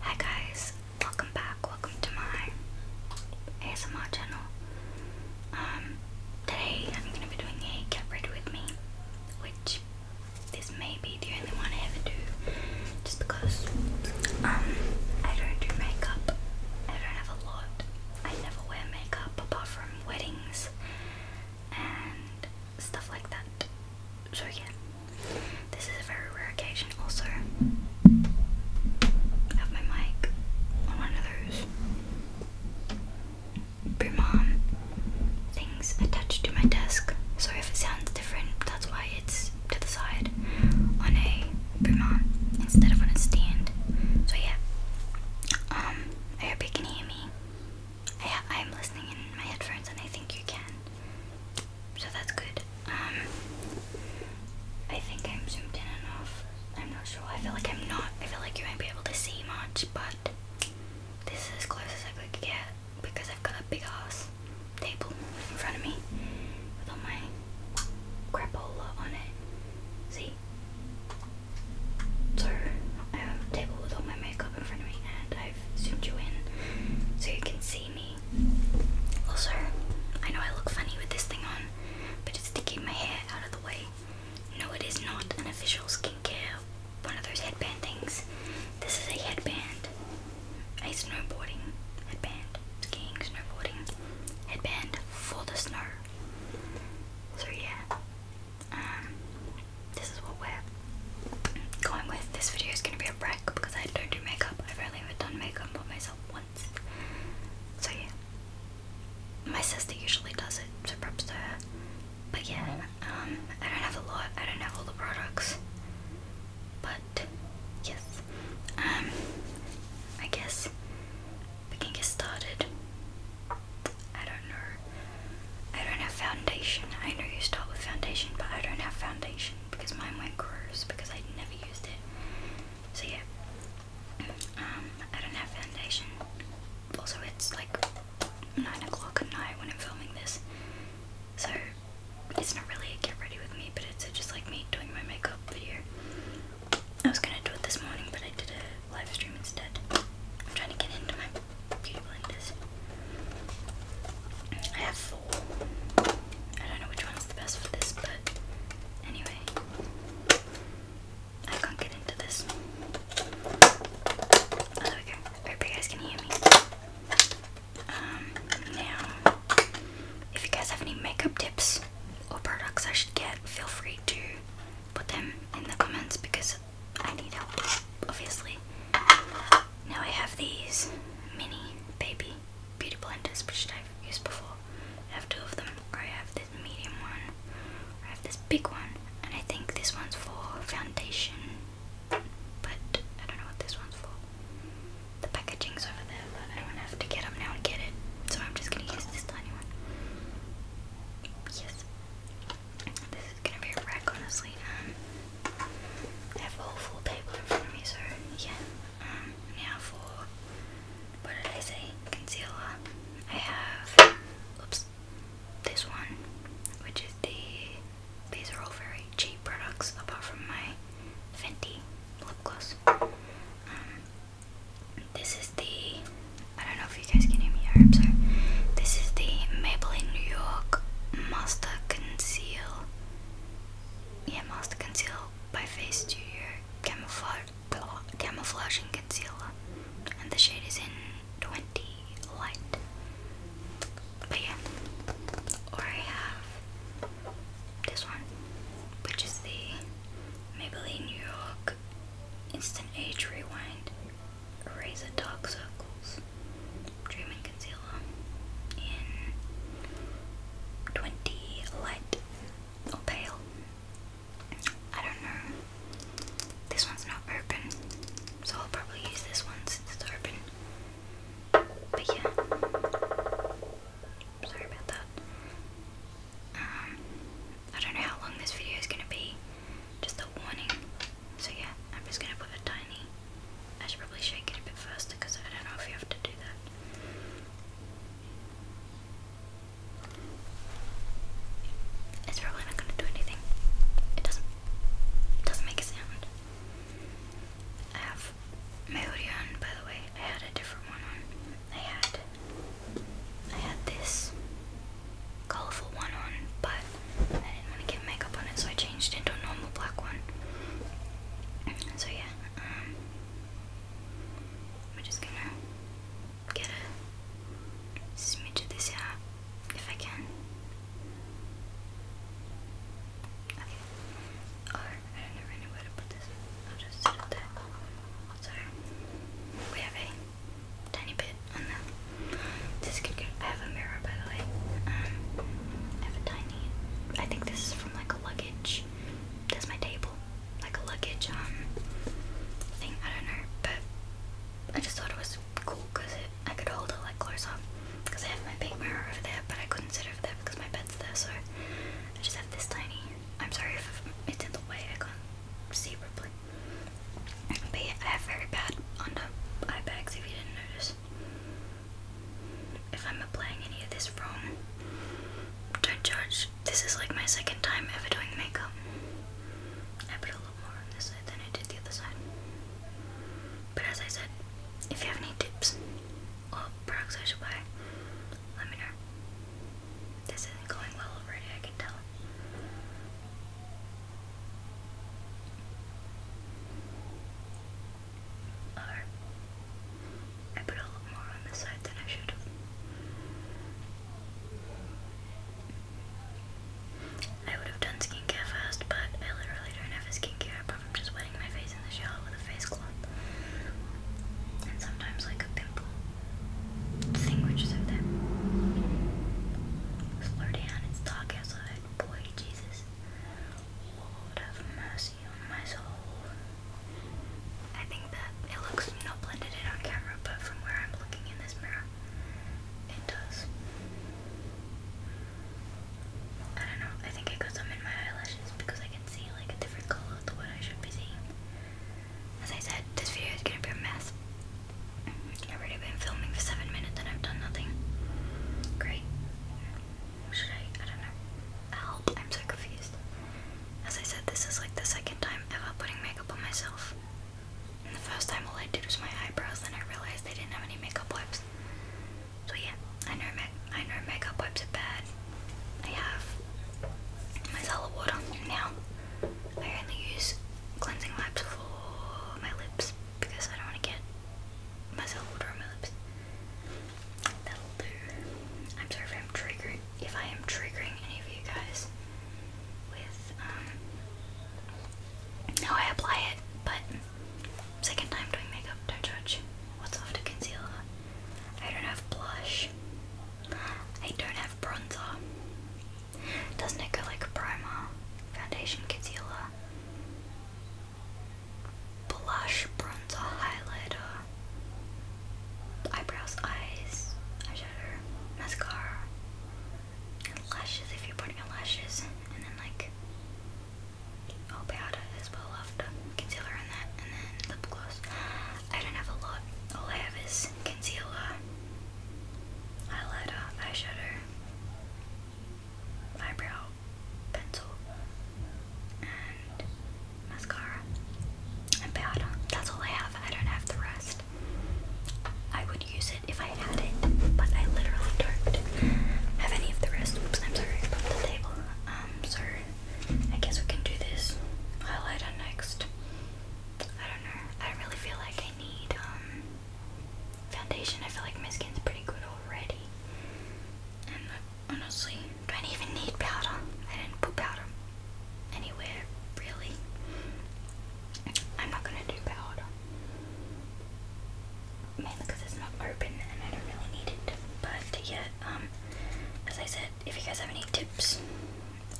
Hi guys, welcome back, welcome to my ASMR channel. Um, today I'm gonna be doing a cat ready with me, which this may be the only one I ever do, just because um I don't do makeup. I don't have a lot. I never wear makeup apart from weddings and stuff like that. So yeah, this is a very rare occasion also. have my mic on one of those Brumman things attached to my desk. So if it sounds different, that's why it's to the side on a Brumman instead of on a stand. So yeah. Um, I hope you can hear me. I I'm listening in my headphones, and I think you can. So that's good. Um, I think I'm zoomed in enough. I'm not sure. I feel like I'm not. I feel like you won't be able to see much, but this is as close as I could get because I've got a big ass table in front of me with all my crapola on it. See? So I have a table with all my makeup up in front of me and I've zoomed you in so you can see me. Also, I know I look funny with this thing on, but it's to keep my hair out of the way. No, it is not an official skincare, one of those headband things. This is a headband, a snowboarding headband, skiing, snowboarding headband for the snow. So yeah, um, this is what we're going with. This video is going to be a break because I don't do makeup. I've only ever done makeup on myself once. So yeah. My sister usually does it, so props to her. But yeah, um, I don't have a lot. I don't have all the products. But yes, um, I guess we can get started. I don't know. I don't have foundation. I know you start with foundation, but I don't have foundation because mine went gross because I never used it. So yeah, um, I don't have foundation. Also, it's like nine o'clock at night when I'm filming this, so it's not really a get ready with me, but it's just like me doing my makeup video. I was gonna do it this morning, but I did a live stream instead. I'm trying to get into my beauty blenders. I have four. I don't know which one's the best for this, but anyway, I can't get into this. Oh, there we go. hope you guys can hear me. Um, now, if you guys have any makeup tips or products I should get, feel free to put them in the comments because I need help, obviously. Now I have these mini baby beauty blenders, which I've used before. I have two of them, I have this medium one, I have this big one, and I think this one's for foundation, but I don't know what this one's for. The packaging's over there, but I don't have to get them now and get it, so I'm just gonna use this tiny one. Yes. This is gonna be a wreck, honestly. Um, have a whole full in front of me, so yeah. Um, now for what did I say? Concealer. I have, oops, this one, which is the. These are all very cheap products, apart from my Fenty lip gloss. Um, this is the. I don't know if you guys can hear me. I hope so. This is the Maybelline New York Master. Con conceal. You must conceal by face to your camouflage, camouflaging concealer, and the shade is in 20 light. But yeah, or I have this one, which is the Maybelline New York Instant Age Rewind Eraser Dark Circles Dreaming Concealer in 20 Light or Pale. I don't know. This one's not open, so I'll probably use this one since it's open. But yeah, sorry about that. Um, I don't know how long this video is going to be, just a warning. So yeah, I'm just gonna put a tiny. I should probably shake it a bit faster because I don't know if you have to do that. It's probably not gonna do anything. It doesn't. It doesn't make a sound. I have my hoodie by the way. I had a different one on. I had. I had this colorful one on, but I didn't want to get makeup on it, so I changed it into a normal black one. So yeah, um, we're just gonna get a smidge of this out if I can. Okay. Or oh, I don't know where to put this. I'll just set it there. So we have a tiny bit kit on them. This kit kit. I have a mirror by the way. Um, have a tiny. I think this is from like a luggage. That's my table, like a luggage um thing. I don't know, but I just thought it was cool because I could hold it like close up. Because I have my big mirror over there, but I couldn't sit over there because my bed's there. So I just have this tiny. I'm sorry if it's in the way. I can't see properly. But I have very bad under eye bags if you didn't notice if I'm applying any of this wrong, don't judge. This is like my second time ever doing makeup. I put a lot more on this side than I did the other side. But as I said, if you have any tips or products I should buy, let me know. This isn't going well already, I can tell. I put a lot more on the side than I should I would have done skincare first, but I literally don't have a skincare apart from just wetting my face in the shower with a face cloth. And sometimes like a pimple thing which is over there. Slow down, it's Boy, Jesus, Lord have mercy on my soul. I think that it looks not blended in on camera, but from where I'm looking in this mirror, it does. I don't know, I think it goes up in my eyelashes because I can see like a different colour to what I should be seeing. As I said, this video is gonna be a mess. I've already been filming for seven minutes and I've done nothing. Great. Should I? I don't know. Help! I'm so confused. As I said, this is like the second time ever putting makeup on myself. And the first time all I did was my eyebrows, then I realized they didn't have any makeup wipes. So yeah, I know I know makeup wipes are bad. I have my Zala water now. I only use cleansing wipes for my lips because I don't want to get myself would my lips. That'll do. I'm sorry if I'm triggering if I am triggering any of you guys with um how I apply it, but second time doing makeup, don't judge. What's after concealer? I don't have blush. I don't have bronzer. Doesn't it go like primer, foundation, concealer, blush, bronzer, highlighter, eyebrows, eyes, eyeshadow, mascara, lashes if you put in your lashes, and then like all powder as well after concealer and that, and then lip gloss. I don't have a lot. All I have is concealer, highlighter, eyeshadow, eyebrow pencil and mascara and powder. That's all I have. I don't have the rest. I would use it if I had it, but I literally don't have any of the rest. Oops, I'm sorry about the table. Um, so I guess we can do this highlighter next. I don't know. I don't really feel like I need um foundation. I feel like my skin's pretty good already. And honestly, I don't even need powder. I didn't put powder anywhere really. I'm not gonna do powder. Mainly because it's not open and I don't really need it. But yeah, um, as I said, if you guys have any tips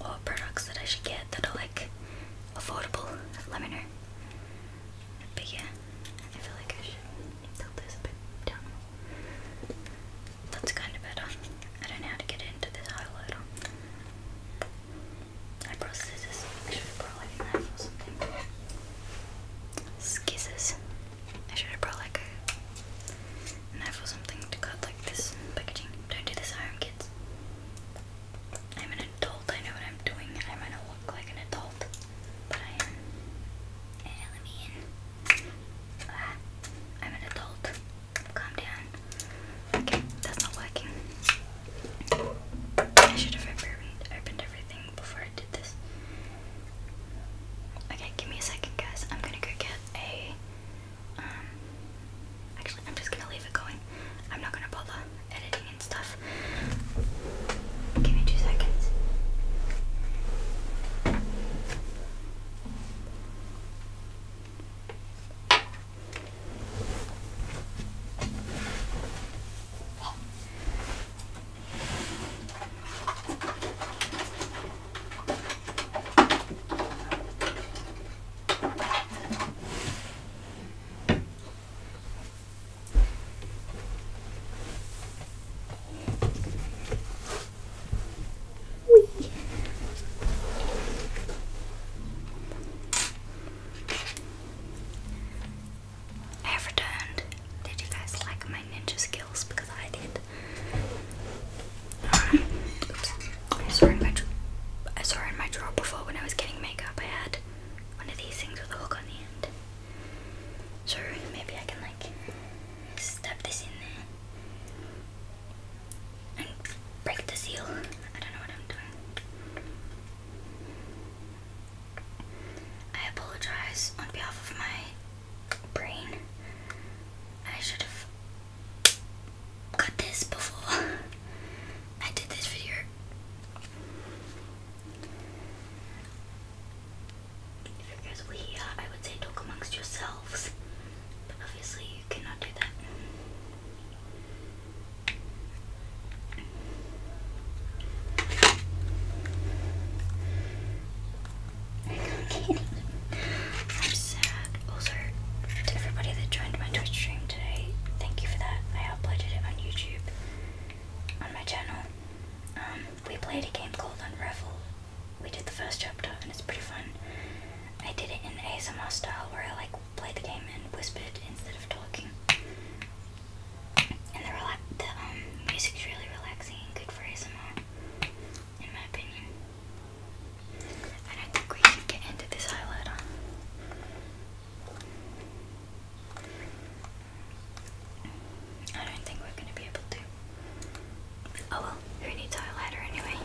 or products that I should get that are like affordable, let me know. But yeah, I feel like I should tilt this a bit down. That's kind of better. I don't know how to get into this highlighter. Eyebrow scissors. I should have brought like a knife or something. Scissors. I should have brought like a knife or something to cut like this packaging. Don't do this home, kids. I'm an adult, I know what I'm doing. I might not look like an adult, but I am. Yeah, let me in. Ah, I'm an adult. Calm down. Okay, that's not working. I should have opened, everything before I did this. Okay, give me a second, guys. I'm gonna go get a. Um, actually, I'm just gonna leave it going. I'm not gonna bother editing and stuff. Give me two seconds. Whee. I have returned. Did you guys like my ninja skills? Because I did. I saw in my I saw in my drawer before when I was getting makeup. I had one of these things with a hook on the end. So maybe I can like stab this in there and break the seal. I don't know what I'm doing. I apologize on behalf of my brain. I should have cut this before I did this video. Figures we, uh, I would say, talk amongst yourselves, but obviously you cannot do that. I'm sad. Also, to everybody that joined my Twitch stream today, thank you for that. I uploaded it on YouTube on my channel. Um, we played a game called Unravel. We did the first chapter and it's pretty fun. I did it in ASMR style where I like played the game and whispered instead of talking. And the, rela the um, music's really relaxing and good for ASMR, in my opinion. And I think we should get into this highlighter. I don't think we're going to be able to. Oh well, who needs our anyway?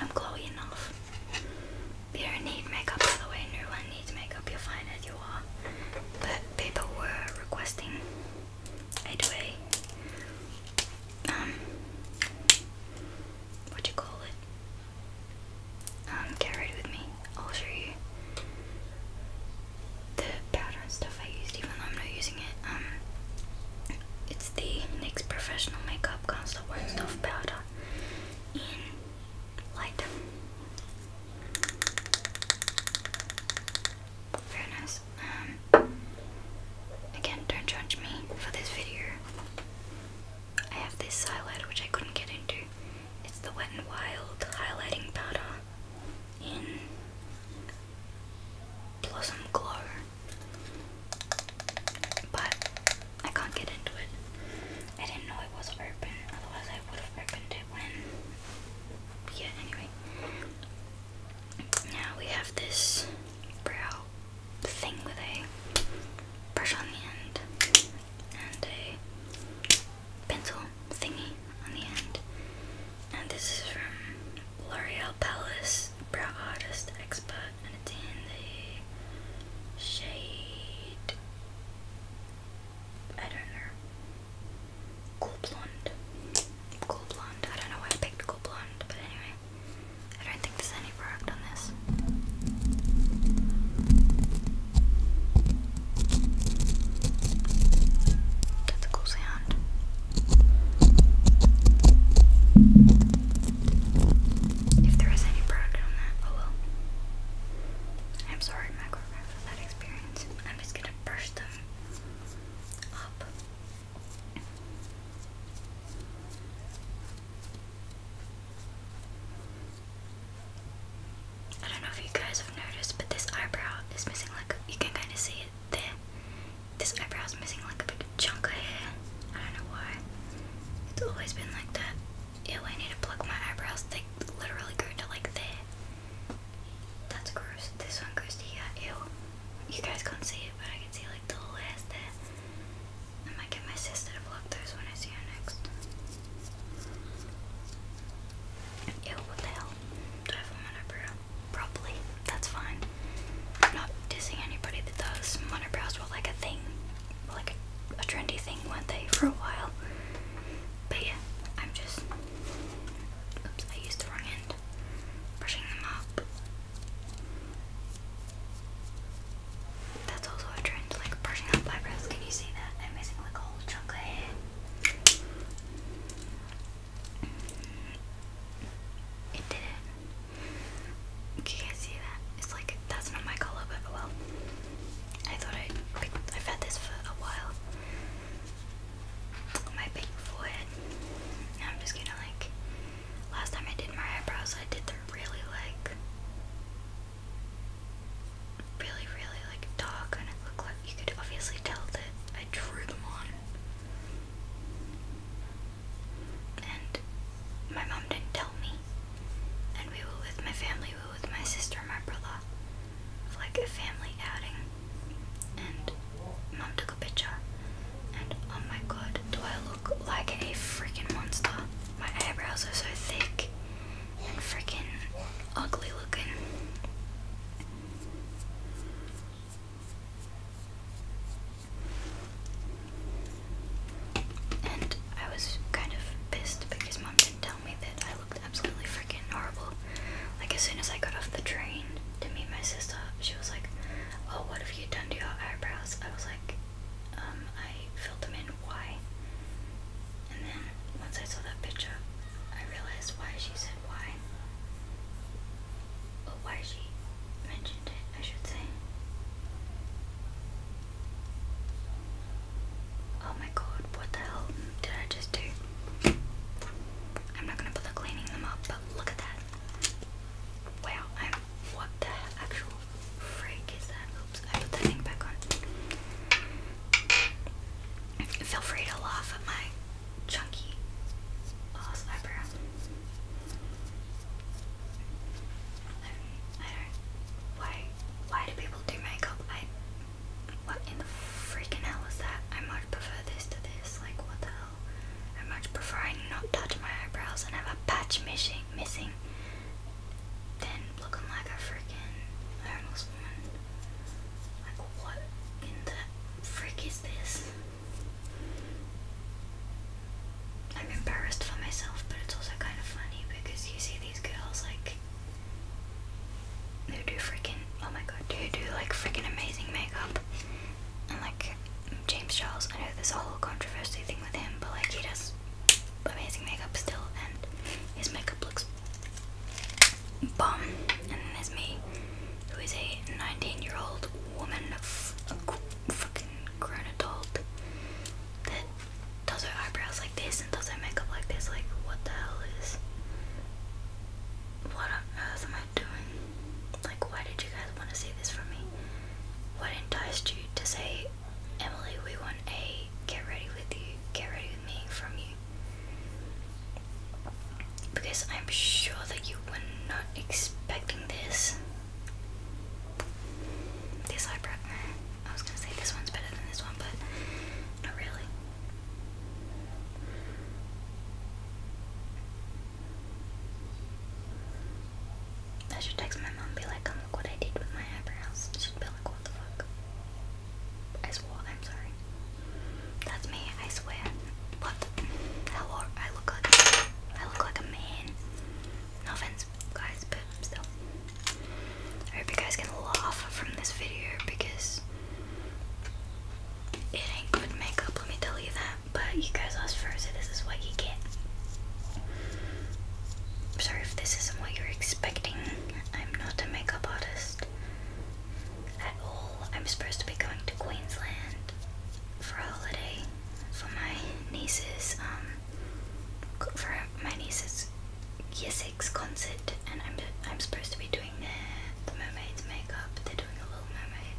I'm glowy enough. You don't need makeup, the way. No needs makeup. You're fine as you are. But people were requesting a um, what do you call it? Um, get ready with me. I'll show you the powder and stuff I used, even though I'm not using it. Um, it's the NYX Professional Makeup Constant Wax Powder in light. Very nice. Um, again, don't judge me for this video. I have this highlighter which I couldn't get into. It's the Wet n Wild highlighting powder in Blossom Glow. But I can't get into it. I didn't know it was open, otherwise I would have opened it when yeah, anyway. Now we have this brow thing with a brush on the end and a pencil thingy on the end. And this is from L'Oreal Paris Brow Artist Expert, and it's in the shade I don't know cool blonde, cool blonde. I don't know why I picked cool blonde, but anyway. I don't think there's any product on this. That's a cool sound. If there is any product on that, oh well. I'm sorry, microphone, for that experience. I'm just gonna brush them up. I don't know if you guys have noticed, but this eyebrow is missing like, you can kind of see it there. This eyebrow is missing like a big chunk of hair. I don't know why. It's always been like that. Ew, I need to pluck my eyebrows. They literally go to like there. That's gross. This one goes Ew. You guys can't see it, but I can see like the last day. I might get my sister to vlog those when I see her next. Ew, what the hell? Do I have a monobrow? Probably. That's fine. am not dissing anybody that does. Monobrows were like a thing, like a, a trendy thing, weren't they, for a while? But yeah, I'm just. Oops, I used the wrong end. Brushing them up. That's also a trend, like brushing out eyebrows. Can you see that? i like whole chunk of hair. It did Can you guys see that? It's like that's not my color, but well. I thought I picked, I've had this for a while. My big forehead. Now I'm just gonna like Last time I did my eyebrows, I did the really like, really, really like dark, and it looked like you could obviously tell that I drew them on. And my mom didn't tell me. And we were with my family, we were with my sister and my brother, like a family outing. And mom took a picture, and oh my god, do I look look like a freaking monster. My eyebrows are so thick and freaking ugly looking. And I was kind of pissed because mom didn't tell me that I looked absolutely freaking horrible. Like, as soon as I got off the train to meet my sister, she was like, Oh, what have you done to your eyebrows? I was like, Um, I why. And then once I saw that picture, I realized why she said why. Or why she mentioned it, I should say. Oh my god, what the hell did I just do? I'm not gonna bother cleaning them up, but look at that. Wow, what the actual freak is that? Oops, I put that thing back on. Feel free to laugh at my chunky ass eyebrow. Why? Why do people do makeup? I. What in the freaking hell is that? I much prefer this to this. Like, what the hell? I much prefer not touch my eyebrows and have a patch missing. Missing then looking like a freaking homeless woman. Like what in the frick is this? I'm embarrassed for myself, but it's also kind of funny because you see these girls like who do freaking oh my god, who do like freaking amazing makeup and like James Charles. I know there's a whole controversy thing with him, but like he does amazing makeup still, and his makeup looks bomb. And then there's me, who is a 19 year old woman, f a fucking grown adult, that does her eyebrows like this and does her makeup like this. Like, what the hell is. What on earth am I doing? Like, why did you guys want to see this from me? What enticed you to say Emily, we want a get ready with you, get ready with me from you. Because I'm sure that you were not expecting this. This eyebrow. I was gonna say this one's better than this one, but not really. I should text my mom be like, like what I did with my eyebrows. She'd be like, what the fuck? I swore, I'm sorry. That's me, I swear. What the hell I look like I look like a man. No offense guys, but still. I hope you guys can laugh from this video because it ain't good makeup, let me tell you that. But you guys asked for it, so this is what you get sorry if this isn't what you're expecting. I'm not a makeup artist at all. I'm supposed to be going to Queensland for a holiday for my niece's um for my niece's year six concert, and I'm I'm supposed to be doing the mermaid's makeup. They're doing a Little Mermaid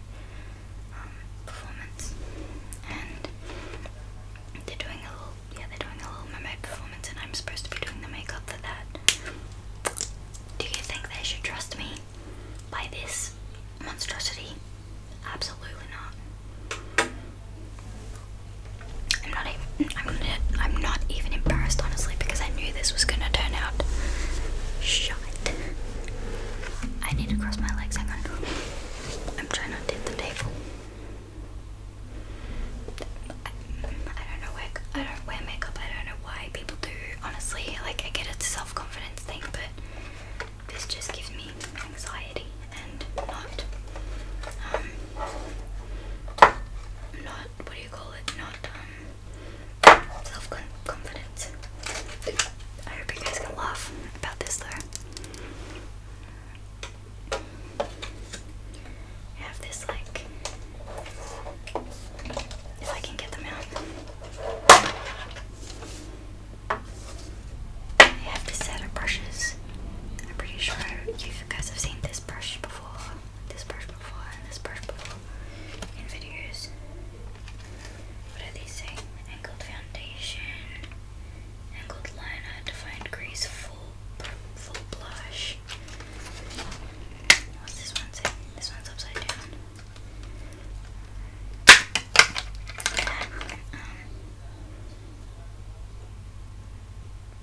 performance, and they're doing a little yeah they're doing a little mermaid performance, and I'm supposed to be doing the makeup for that. Do you think they should trust me by this monstrosity? Absolutely not. I'm not even I'm not, I'm not even embarrassed honestly because I knew this was gonna turn out shite. I need to cross my legs, hang on. I'm trying not to hit the table. I, don't know where I don't wear makeup. I don't know why people do. Honestly, like I get it's a self-confidence thing, but this just gives me anxiety and not um not what do you call it? Not um self-confidence. I hope you guys can laugh about this though. I have this like if I can get them out. I have this set of brushes. I'm pretty sure you guys have seen this brush before, this brush before, and this brush before in videos. What do they say? Angled foundation and liner to find crease blush. What's this one say? This one's upside down. Um,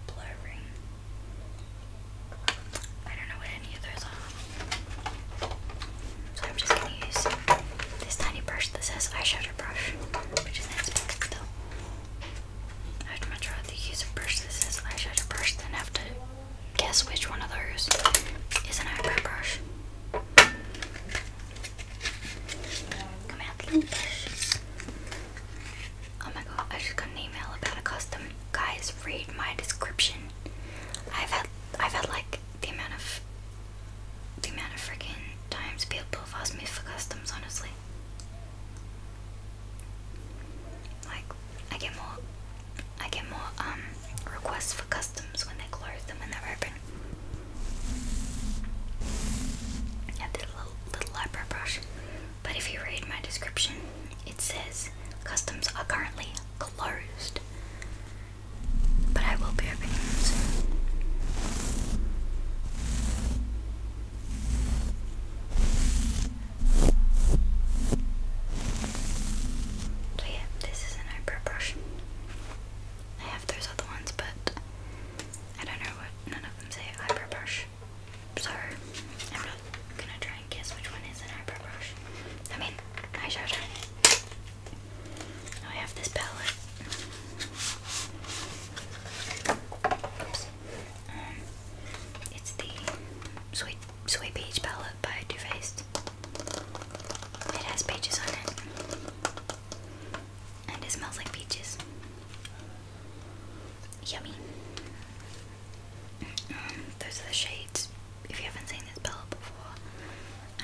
blurring. I don't know what any of those are. So I'm just gonna use this tiny brush that says eyeshadow brush, I'd much rather use a brush that says eyeshadow brush than have to guess which one of those is an eyebrow brush. Come brush. Oh my god, I just got an email about a custom. Guys, read my description. I've had I've had like the amount of the amount of freaking times people have asked me for customs, honestly. Like, I get more, I get more um requests for customs when they're closed than when they're open. I have little eyebrow brush, but if you read my description, it says customs are currently closed. But I will be opening them So yeah, this is an eyebrow brush. I have those other ones, but I don't know what none of them say eyebrow brush. So I'm not gonna try and guess which one is an eyebrow brush. I mean eyeshadow. I have this palette. Oops. Um, it's the sweet, sweet Peach palette by Too Faced. It has peaches on it. And it smells like peaches. Yummy. Um, those are the shades. If you haven't seen this palette before,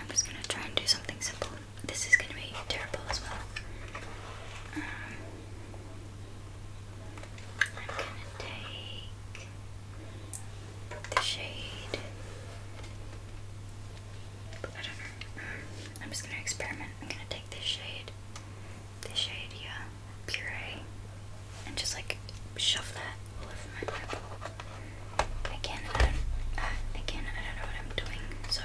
I'm just gonna try and do something simple. This is going to be terrible as well. Um, I'm going to take the shade. Whatever. I'm just going to experiment. I'm going to take this shade, this shade, yeah, puree, and just like shove that all over my Again, I again, I don't know what I'm doing, so.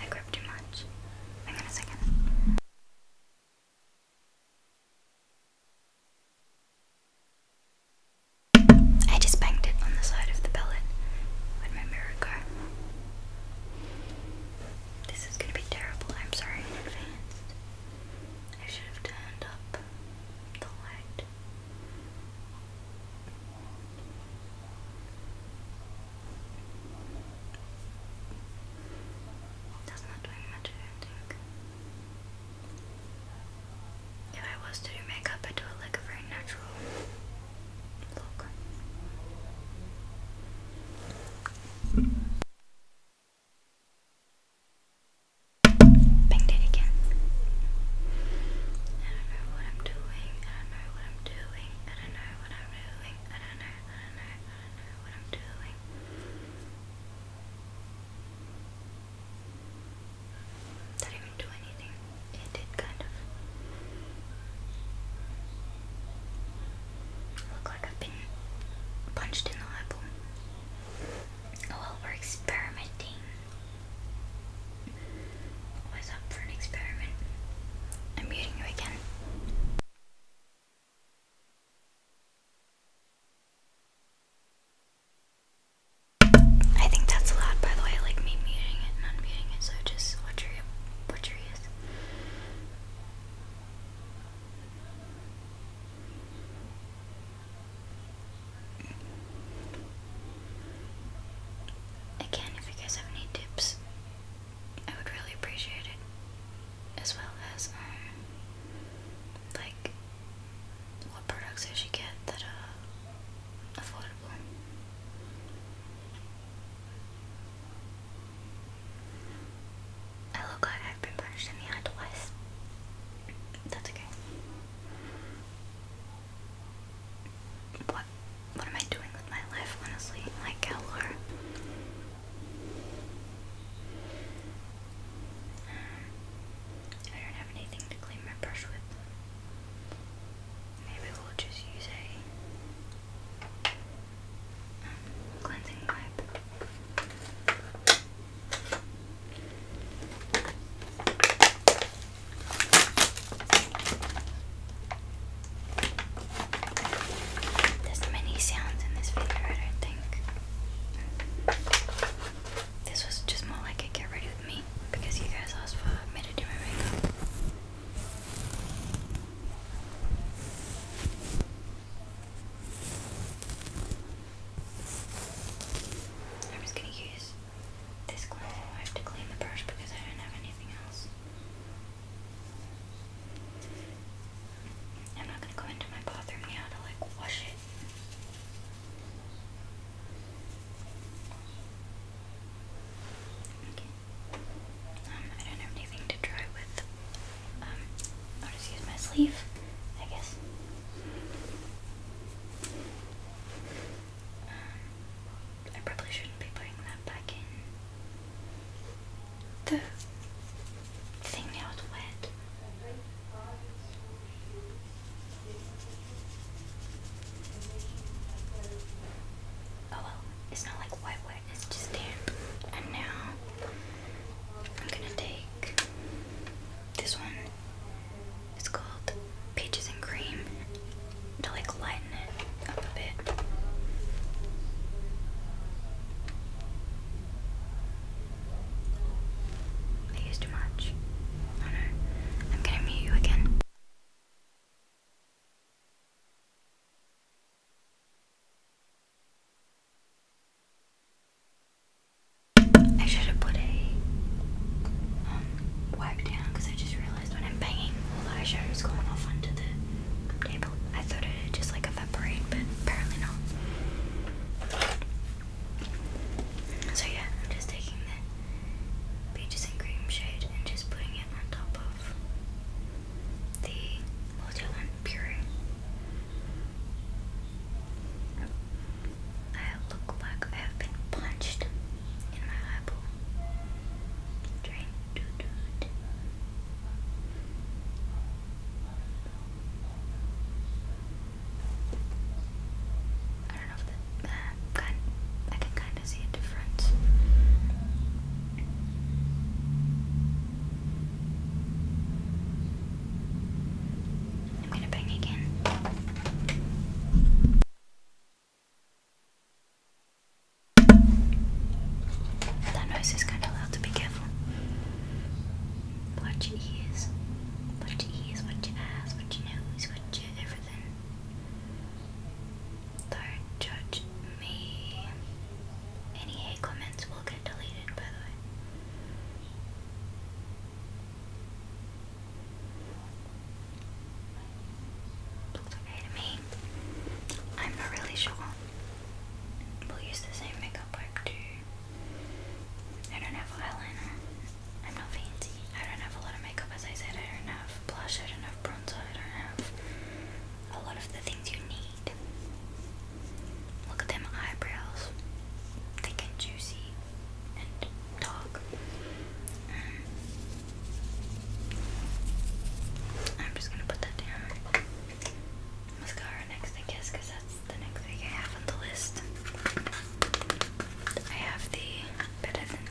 I grabbed too much. Hang on a second. I just banged it on the side of the pellet. where my mirror go? This is gonna be terrible, I'm sorry in advance. I should have turned up the not doing much, I do If I was to do makeup, I'd do it like a very natural Banged it again. I don't know what I'm doing. I don't know what I'm doing. I don't know what I'm doing. I don't know. I don't know. I don't know what I'm doing. That even do anything. It did kind of look like I've been punched in the eyeball. Well, we're experimenting. Always up for an experiment. I'm muting you again. I think that's loud, by the way. like me muting it and unmuting it, so just watch your watch your ears. Again, if you guys have any tips, I would really appreciate it. As well as, um, like, what products I should get that are affordable. I look like I've been punched in the eye twice. That's okay. What what am I doing with my life, honestly? Like Galore. Um, I don't have anything to clean my brush with. Maybe we'll just use a um, cleansing wipe. There's many sounds in this video, I don't think. This was just more like a get ready with me because you guys asked for me to do my makeup. I'm just going to use this cleansing wipe to clean the brush because I don't have anything else. I'm not going to go into my bathroom now to like wash it. Okay. Um, I don't have anything to try with. Um, I'll just use my sleeve, I guess. Um, I probably shouldn't be putting that back in. The thing now is wet. Oh well, it's not like white wet, it's just damp. And now I'm gonna take this one. It's called Peaches and Cream to like lighten up a bit. I used too much. Oh no. I'm gonna mute you again. I should have put a um, wipe down because I just realized when I'm banging, all the eyeshadow is going off onto the table. I thought it would just like evaporate, but apparently not. So yeah, I'm just taking the peaches and cream shade and just putting it on top of the multi-line puree. I look like I have been punched in my eyeball. I don't know if that kind, I can kind of see a difference. I'm gonna bang again. That nose is kind of loud, to be careful. Watch your ears. Watch your ears, watch your eyes, watch your nose, watch your everything. Don't judge me. Any hate comments will get deleted, by the way. Looks to me. I'm not really sure. We'll use the same makeup work too. I don't have eyeliner. I'm not fancy. I don't have a lot of makeup as I said. I don't have blush. I don't have bronzer. I don't have a lot of the things you need. Look at them eyebrows. Thick and juicy and dark. Mm. I'm just gonna put that down. Mascara next, I guess, that's the next thing I have on the list. I have the Better Than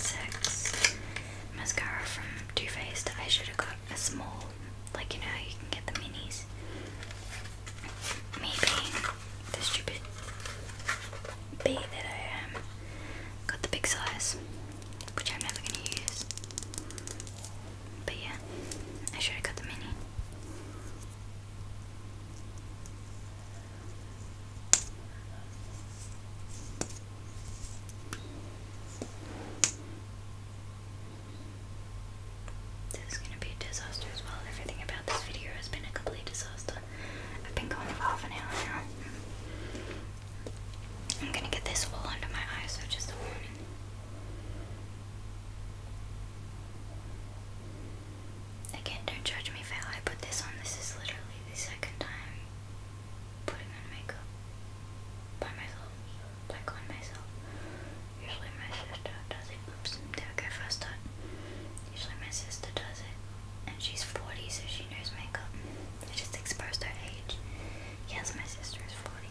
mascara from Too Faced. I should have got a small, like you know, you can get the minis maybe the stupid bee that I am um, got the big size, which I'm never going to use. But yeah, I should have got the mini. This is gonna be a disaster as well. Everything about this video has been a complete disaster. I've been going for half an hour now. I'm gonna get this all under my eyes, so just a warning. Again, don't judge me if I put this on. This is literally the second time putting on makeup by myself like on myself. Usually my sister does it. Oops, there I go first time. Usually my sister does it. And she's 40 so she knows makeup. I just exposed her age. Yes, my sister is 40.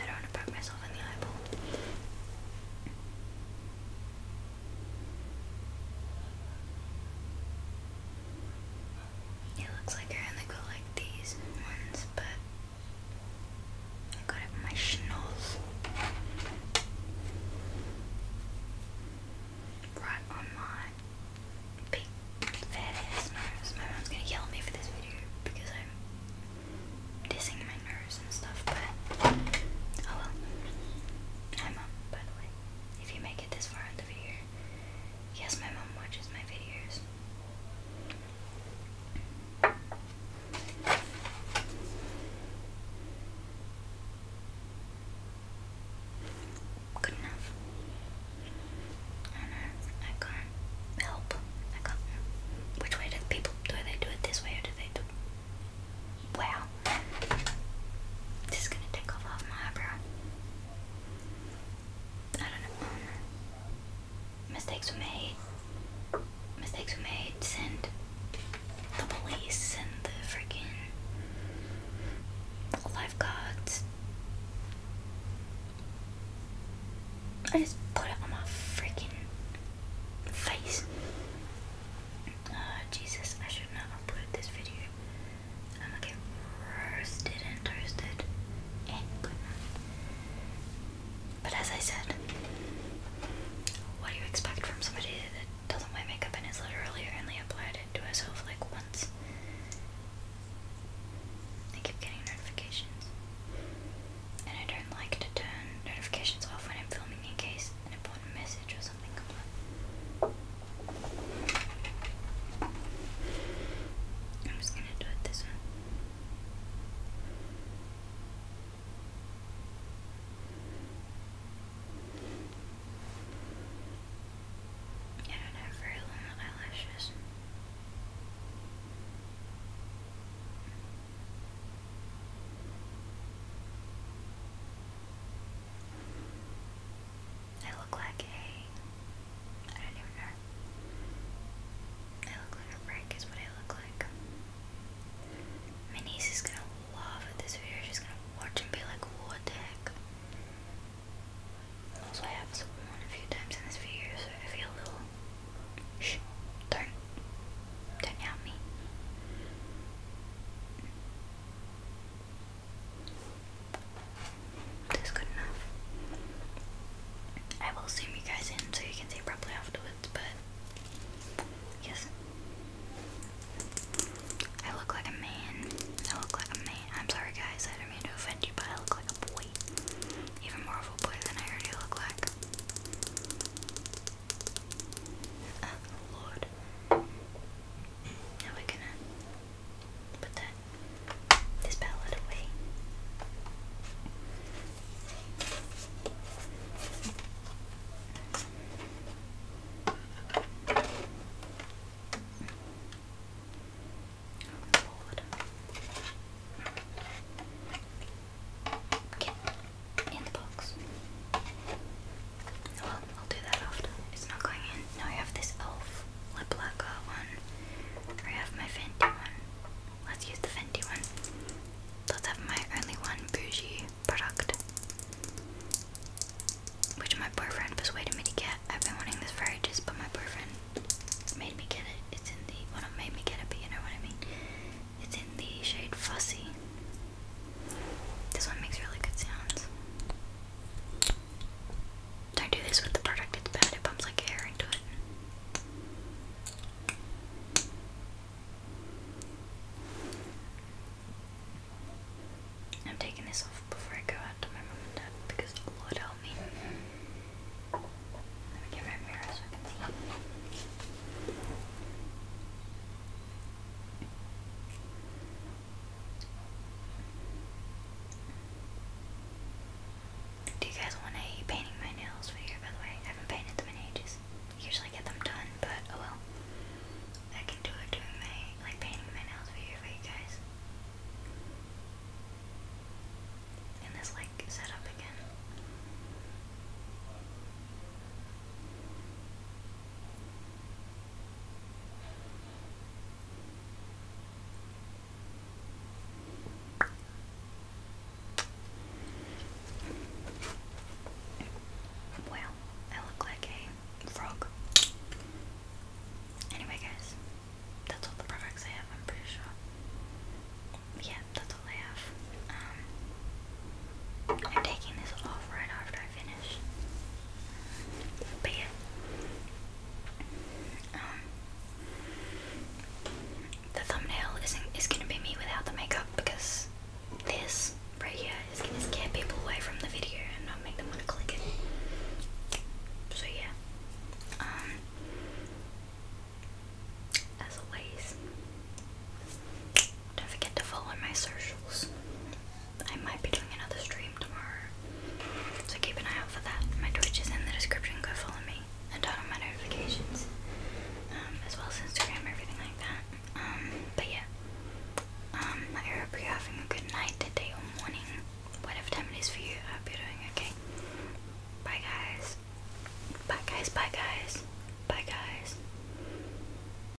I don't want to poke myself in the eyeball. It looks like I only got like these ones, but I got my schnoz. Right on my big fat ass nose. My mom's gonna yell at me for this video because I'm dissing my nose and stuff, but oh well. Hi mom, by the way if you make it this far in the video. Yes, my mom watches my videos. Good enough. I do I can't help. I can't. Which way do people do they do it this way or do they do? Wow. Just gonna take off half my eyebrow. I don't know. Mistakes were made. Mistakes were made. Send the police and the freaking lifeguards. I just put it on my freaking face. Uh, Jesus, I should not upload this video. I'm gonna get roasted and toasted But as I said, what do you expect from somebody that doesn't wear makeup and has literally only applied it to herself like once? I keep getting notifications. And I don't like to turn notifications off when I'm filming in case an important message or I'm just gonna do it this one. I don't have very long eyelashes. I look like a. I don't even know. I look like a brick, is what I look like. My niece is gonna love this video. She's gonna watch and be like, what the heck? Also, I have sworn a few times in this video, so if you a little. Shh, don't. Don't help me. That's good enough. I will zoom you guys in so you can see properly afterwards, but yes. I look like a man. I look like a man. I'm sorry guys, I don't mean to offend you, but I look like a boy. Even more of a boy than I already look like. Oh lord. Now we're gonna put that this palette away. Forward. in the box. Well, I'll do that after. It's not going in. Now I have this elf lip lacquer one. I have my Fenty one. Let's use the Fenty one. Let's have my only one bougie product. Which my boyfriend persuaded me to get. I've been wanting this for ages, but my boyfriend made me get it. It's in the well made me get it, but you know what I mean. It's in the shade Fussy. This one makes really good sounds. Don't do this with the product, it's bad, it bumps like air into it. I'm taking this off before I go out to my mum and dad because Lord help me. Let me get my mirror so I can see. Do you guys want a painting my nails for video, by the way? I haven't painted them in ages. Usually get them done, but oh well. I can do it doing my, like, painting my nails video for you guys. And this, like, set again. Well, I look like a frog. Anyway, guys, that's all the products I have, I'm pretty sure. Yeah, that's all I have. Um, I'm taking this off right after I finish. But yeah. Um, the thumbnail isn't is gonna be me without the makeup because this right here is scare people away from the video and not make them wanna click it. So yeah. Um as always, don't forget to follow my socials I might be doing another stream tomorrow. So keep an eye out for that. My Twitch is in the description, go follow me and turn on my notifications. Um, as well as Instagram, everything like that. Um, but yeah. Um, I hope you're having a good night, today or morning. Whatever time it is for you, I hope you're doing okay. Bye guys. Bye guys, bye guys. Bye guys.